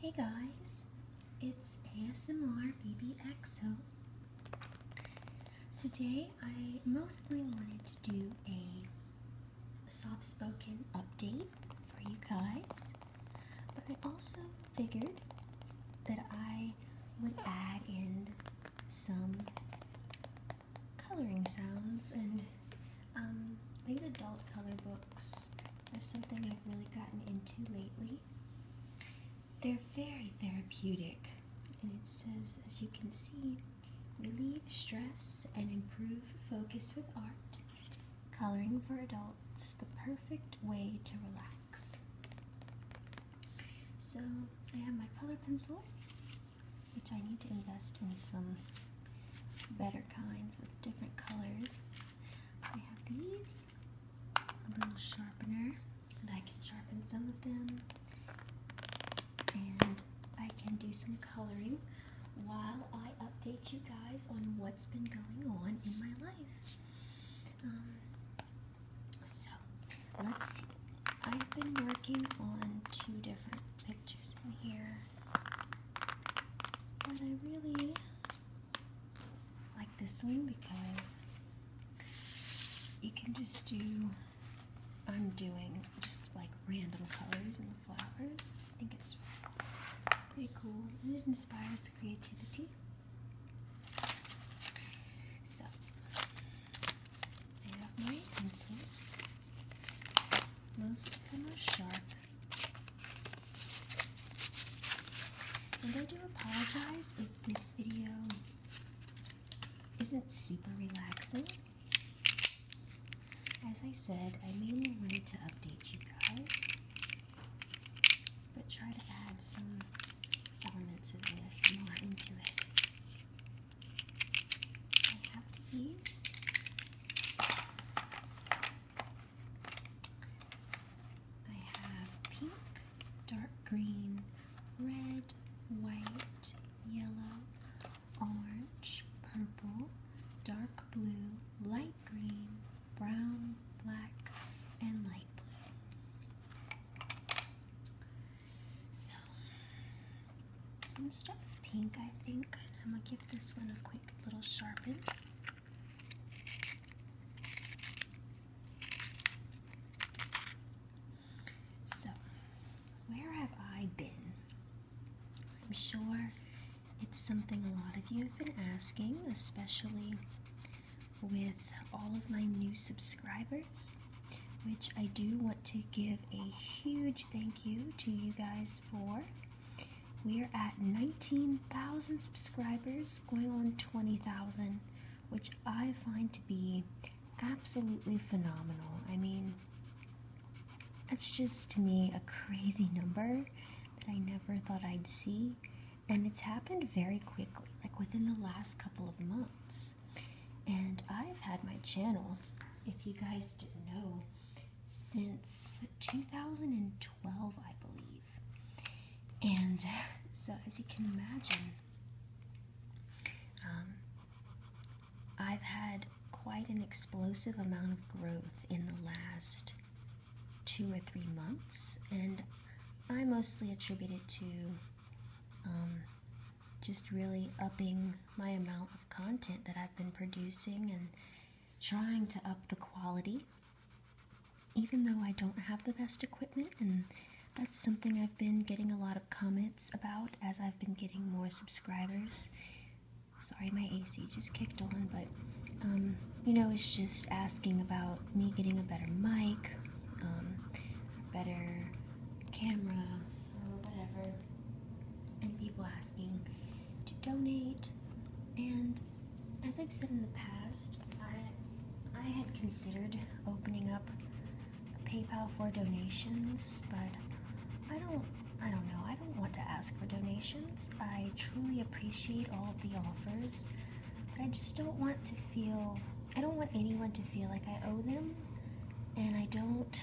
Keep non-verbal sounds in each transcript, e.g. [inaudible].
Hey guys, it's ASMR Baby BBXO. Today I mostly wanted to do a soft spoken update for you guys, but I also figured that I would add in some coloring sounds and um, these adult color books are something I've really gotten into lately. They're very therapeutic, and it says, as you can see, relieve stress and improve focus with art. Coloring for adults, the perfect way to relax. So, I have my color pencils, which I need to invest in some better kinds with different colors. I have these, a little sharpener, and I can sharpen some of them. And I can do some coloring while I update you guys on what's been going on in my life. Um, so, let's see. I've been working on two different pictures in here. But I really like this one because you can just do, I'm doing just like random colors in the flowers. I think it's pretty cool and it inspires creativity. So, I have my pencils. Most of them are sharp. And I do apologize if this video isn't super relaxing. As I said, I mainly wanted to update you guys, but try to add some elements of this more into it. I have these. I have pink, dark green, red, white, yellow, orange, purple, dark blue, light green, brown, black, and light blue. So I'm pink, I think. I'm gonna give this one a quick little sharpen. So, where have I been? I'm sure it's something a lot of you have been asking, especially with all of my new subscribers, which I do want to give a huge thank you to you guys for. We are at 19,000 subscribers, going on 20,000, which I find to be absolutely phenomenal. I mean, that's just to me a crazy number that I never thought I'd see, and it's happened very quickly, like within the last couple of months. And I've had my channel, if you guys didn't know, since 2012, I believe. And so, as you can imagine, um, I've had quite an explosive amount of growth in the last two or three months, and I mostly attribute it to um, just really upping my amount of content that I've been producing and trying to up the quality, even though I don't have the best equipment. And that's something I've been getting a lot of comments about as I've been getting more subscribers. Sorry, my AC just kicked on, but um, you know, it's just asking about me getting a better mic, um, better camera, or whatever, and people asking to donate. And as I've said in the past, I, I had considered opening up PayPal for donations, but I don't I don't know. I don't want to ask for donations. I truly appreciate all of the offers, but I just don't want to feel I don't want anyone to feel like I owe them, and I don't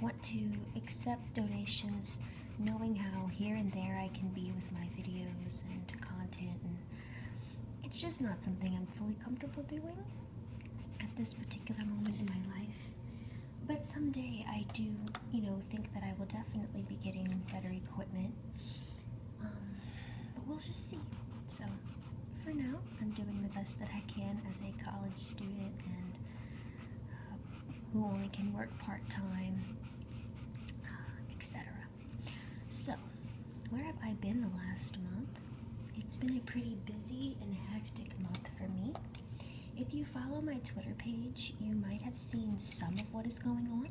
want to accept donations knowing how here and there I can be with my videos and content and it's just not something I'm fully comfortable doing at this particular moment in my life. But someday I do, you know, think that I will definitely be getting better equipment. Um, but we'll just see. So for now, I'm doing the best that I can as a college student and who only can work part time, uh, etc. So, where have I been the last month? It's been a pretty busy and hectic month for me. If you follow my Twitter page, you might have seen some of what is going on.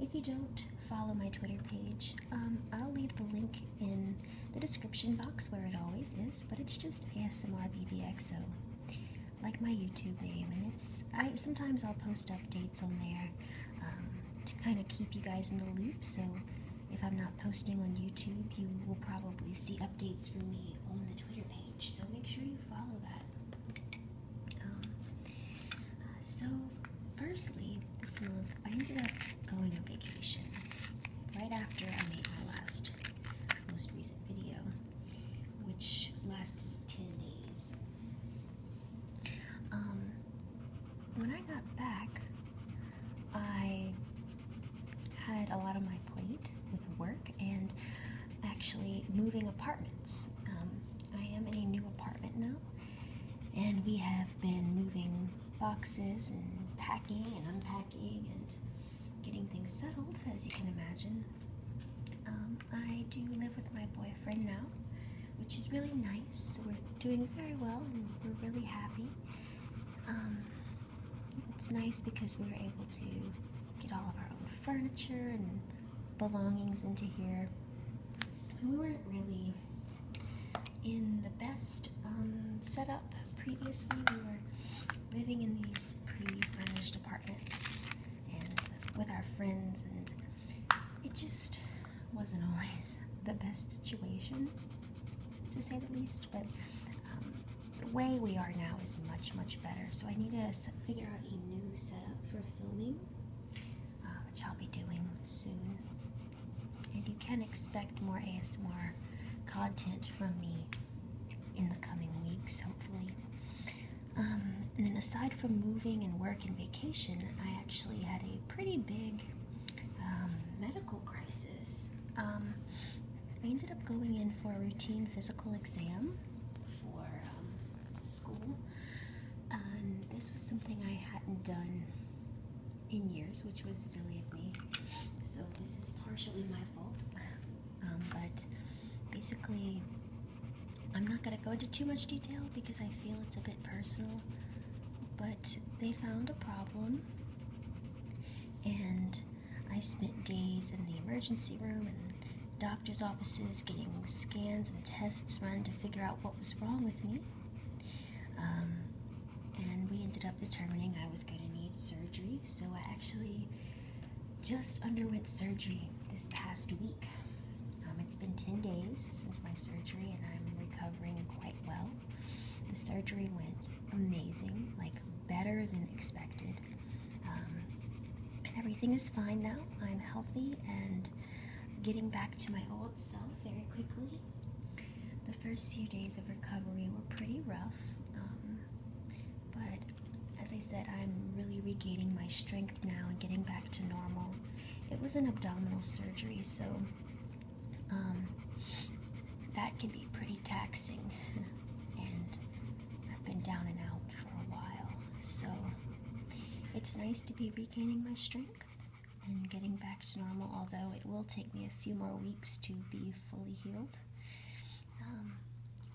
If you don't follow my Twitter page, um, I'll leave the link in the description box where it always is, but it's just ASMR like my YouTube name, and it's I sometimes I'll post updates on there um, to kind of keep you guys in the loop. So if I'm not posting on YouTube, you will probably see updates from me on the Twitter page. So make sure you follow that. Um, uh, so firstly, this month I ended up going on vacation right after I made my last most recent video which lasted 10 days. Um, when I got back, I had a lot on my plate with work and actually moving apartments. Um, I am in a new apartment now, and we have been moving boxes and packing and unpacking and getting things settled, as you can imagine. Um, I do live with my boyfriend now, which is really nice. We're doing very well and we're really happy. Um, it's nice because we were able to get all of our own furniture and belongings into here. We weren't really in the best um, setup previously. We were living in these pre-furnished apartments and with our friends, and it just wasn't [laughs] always the best situation, to say the least. But um, the way we are now is much, much better. So I need to figure out a new setup for filming, uh, which I'll be doing soon. And you can expect more ASMR content from me in the coming weeks, hopefully. Um, and then, aside from moving and work and vacation, I actually had a pretty big um, medical crisis. Um, I ended up going in for a routine physical exam for school, and this was something I hadn't done in years, which was silly of me. So, this is partially my fault. [laughs] Um, but basically, I'm not going to go into too much detail because I feel it's a bit personal. But they found a problem, and I spent days in the emergency room and doctor's offices getting scans and tests run to figure out what was wrong with me. Um, and we ended up determining I was going to need surgery, so I actually just underwent surgery this past week. Um, it's been 10 days since my surgery, and I'm recovering quite well. The surgery went amazing, like better than expected. Um, and everything is fine now. I'm healthy and getting back to my old self very quickly. The first few days of recovery were pretty rough, um, but as I said, I'm really regaining my strength now and getting back to normal. It was an abdominal surgery, so um, that can be pretty taxing. [laughs] and I've been down and out for a while, so it's nice to be regaining my strength and getting back to normal, although it will take me a few more weeks to be fully healed. Um,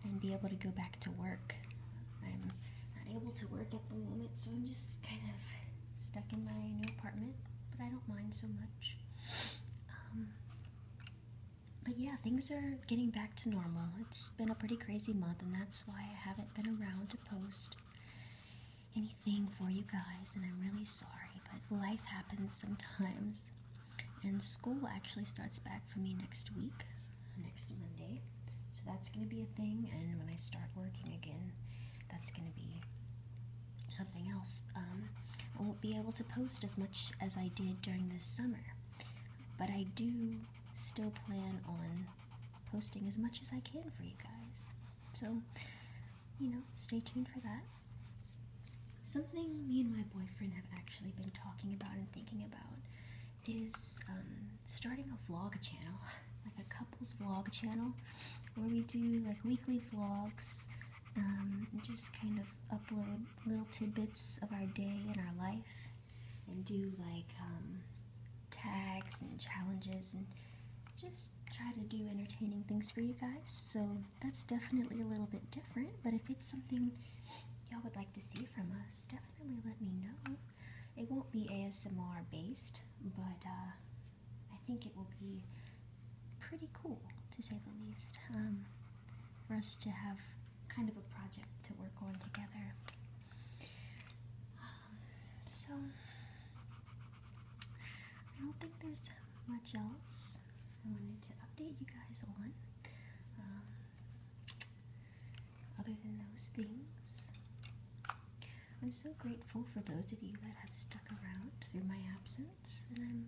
and be able to go back to work. I'm not able to work at the moment, so I'm just kind of stuck in my new apartment, but I don't mind so much. Um, but yeah, things are getting back to normal. It's been a pretty crazy month, and that's why I haven't been around to post anything for you guys, and I'm really sorry, but life happens sometimes. And school actually starts back for me next week, next Monday. So that's going to be a thing. And when I start working again, that's going to be something else. Um, I won't be able to post as much as I did during this summer. But I do still plan on posting as much as I can for you guys. So, you know, stay tuned for that. Something me and my boyfriend have actually been talking about and thinking about is um, starting a vlog channel, [laughs] like a couples vlog channel, where we do like weekly vlogs um, just kind of upload little tidbits of our day and our life and do like um, tags and challenges and just try to do entertaining things for you guys. So that's definitely a little bit different, but if it's something y'all would like to see, from us, definitely let me know. It won't be ASMR based, but uh, I think it will be pretty cool to say the least um, for us to have kind of a project to work on together. so, I don't think there's much else I wanted to update you guys on. Um, other than those things, I'm so grateful for those of you that have stuck around through my absence, and I'm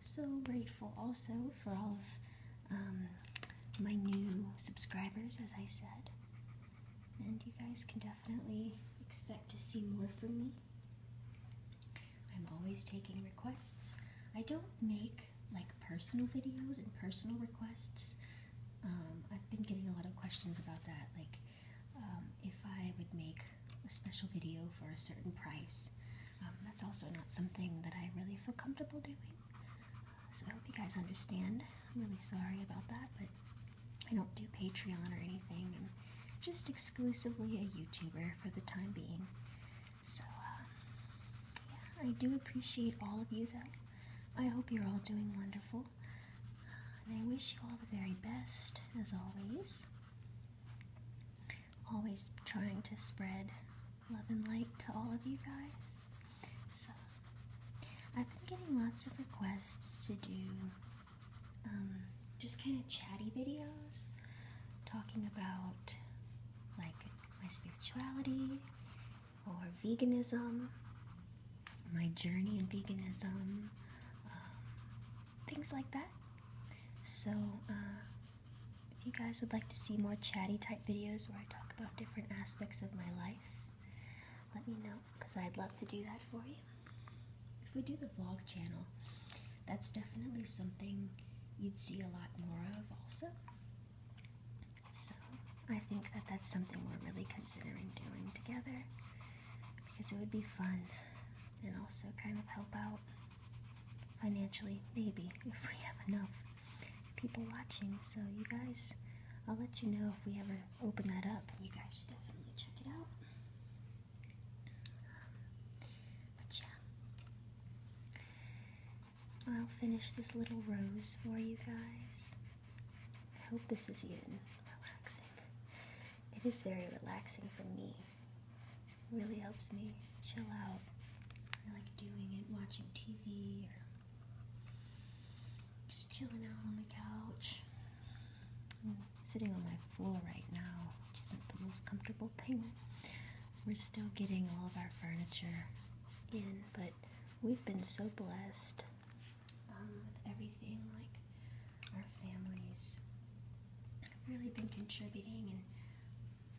so grateful also for all of um, my new subscribers, as I said. And you guys can definitely expect to see more from me. I'm always taking requests. I don't make like personal videos and personal requests. Um, I've been getting a lot of questions about that, like um, if I would make a special video for a certain price. Um, that's also not something that I really feel comfortable doing. So I hope you guys understand. I'm really sorry about that, but I don't do Patreon or anything. I'm just exclusively a YouTuber for the time being. So, uh, yeah, I do appreciate all of you, though. I hope you're all doing wonderful. And I wish you all the very best, as always. Always trying to spread love and light to all of you guys. So, I've been getting lots of requests to do um, just kind of chatty videos talking about like my spirituality or veganism, my journey in veganism, um, things like that. So, uh, if you guys would like to see more chatty type videos where I talk about different aspects of my life, let me know because I'd love to do that for you. If we do the vlog channel, that's definitely something you'd see a lot more of, also. So I think that that's something we're really considering doing together because it would be fun and also kind of help out financially, maybe, if we have enough people watching. So, you guys, I'll let you know if we ever open that up, you guys should definitely check it out. but yeah. I'll finish this little rose for you guys. I hope this is even relaxing. It is very relaxing for me. It really helps me chill out. I like doing it, watching TV, or just chilling out on the couch. I'm sitting on my floor right now, which isn't the most comfortable thing. We're still getting all of our furniture in, but we've been so blessed um, with everything. Like our families have really been contributing,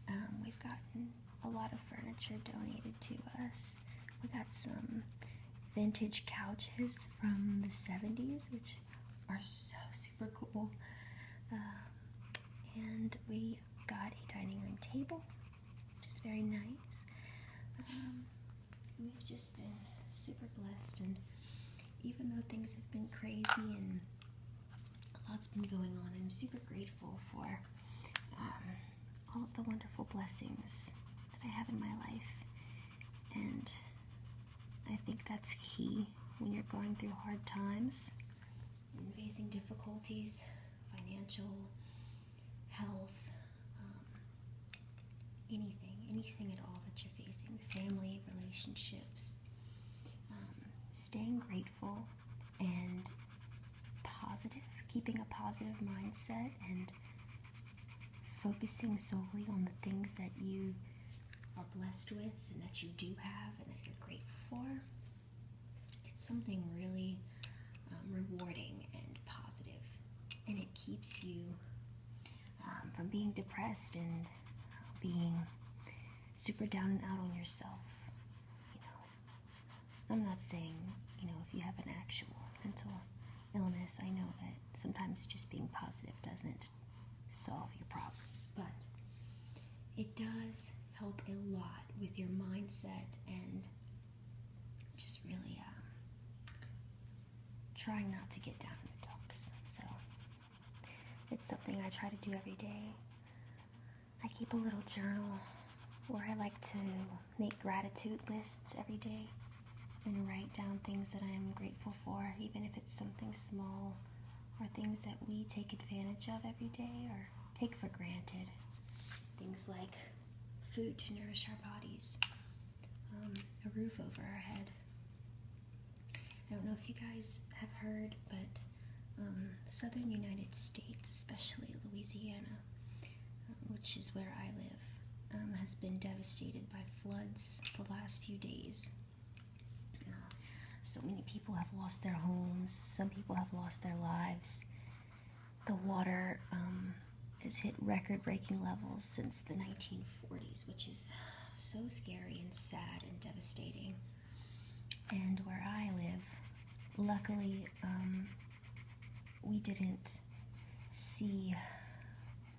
and um, we've gotten a lot of furniture donated to us. We got some vintage couches from the 70s, which are so super cool. Um, and we got a dining room table, which is very nice. Um, we've just been super blessed, and even though things have been crazy and a lot's been going on, I'm super grateful for um, all of the wonderful blessings that I have in my life. And I think that's key when you're going through hard times and facing difficulties, financial, health, um, anything, anything at all that you're facing, family, relationships, um, staying grateful and positive, keeping a positive mindset and focusing solely on the things that you are blessed with and that you do have and that you're grateful for. It's something really um, rewarding and positive, and it keeps you um, from being depressed and being super down and out on yourself. You know, I'm not saying you know if you have an actual mental illness. I know that sometimes just being positive doesn't solve your problems, but it does help a lot with your mindset and just really um, trying not to get down in the dumps. So it's something I try to do every day. I keep a little journal where I like to make gratitude lists every day and write down things that I am grateful for, even if it's something small or things that we take advantage of every day or take for granted. Things like food to nourish our bodies, um, a roof over our head. I don't know if you guys have heard, but the um, southern United States, especially Louisiana, um, which is where I live, has been devastated by floods the last few days. Uh, so many people people have lost their homes, some people have lost their lives. The water um, has hit record breaking levels since the 1940s, which is so scary and sad and devastating. And where I live, luckily, um, we didn't see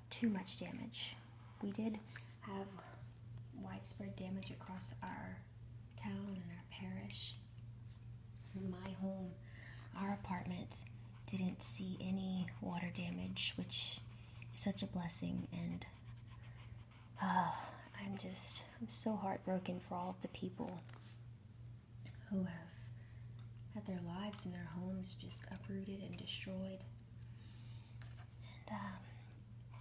too much damage. We did have widespread damage across our town and our parish, my home, our apartment didn't see any water damage, which is such a blessing. And uh, I'm just, I'm so heartbroken for all of the people who have had their lives and their homes just uprooted and destroyed. Um,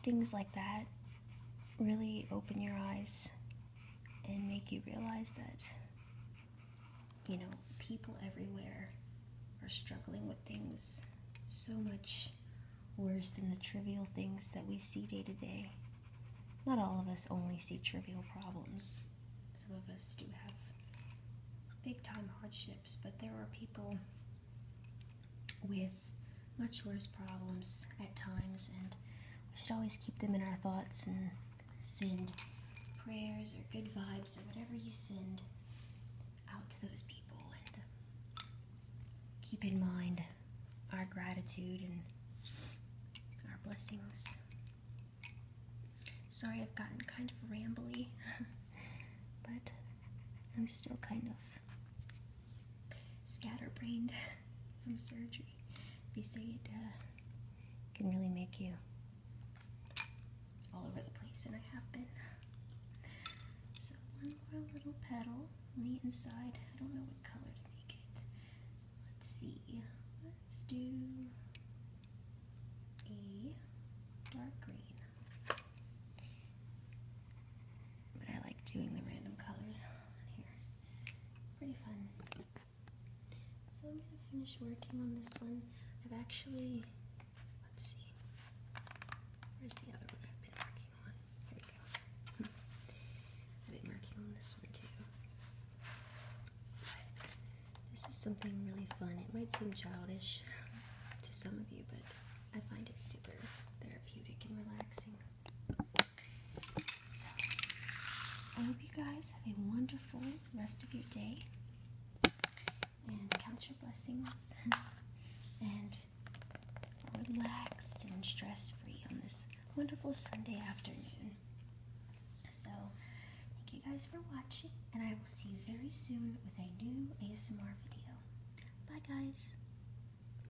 things like that really open your eyes and make you realize that you know people everywhere are struggling with things so much worse than the trivial things that we see day to day not all of us only see trivial problems some of us do have big time hardships but there are people with much worse problems at times, and we should always keep them in our thoughts and send prayers or good vibes or whatever you send out to those people and keep in mind our gratitude and our blessings. Sorry I've gotten kind of rambly, [laughs] but I'm still kind of scatterbrained. [laughs] from surgery. They say it uh, can really make you all over the place, and I have been. So one more little petal on the inside. I don't know what color to make it. Let's see. Let's do a dark green. I like doing the random colors on here pretty fun. So I'm gonna finish working on this one. I've actually, let's see, where's the other one I've been working on? Here we go. [laughs] I've been working on this one too. this is something really fun. It might seem childish [laughs] to some of you, but I find it super therapeutic and relaxing. So, I hope you guys have a wonderful rest of your day and count your blessings [laughs] and relaxed and stress free on this wonderful Sunday afternoon. So, thank you guys for watching, and I will see you very soon with a new ASMR video. Bye, guys.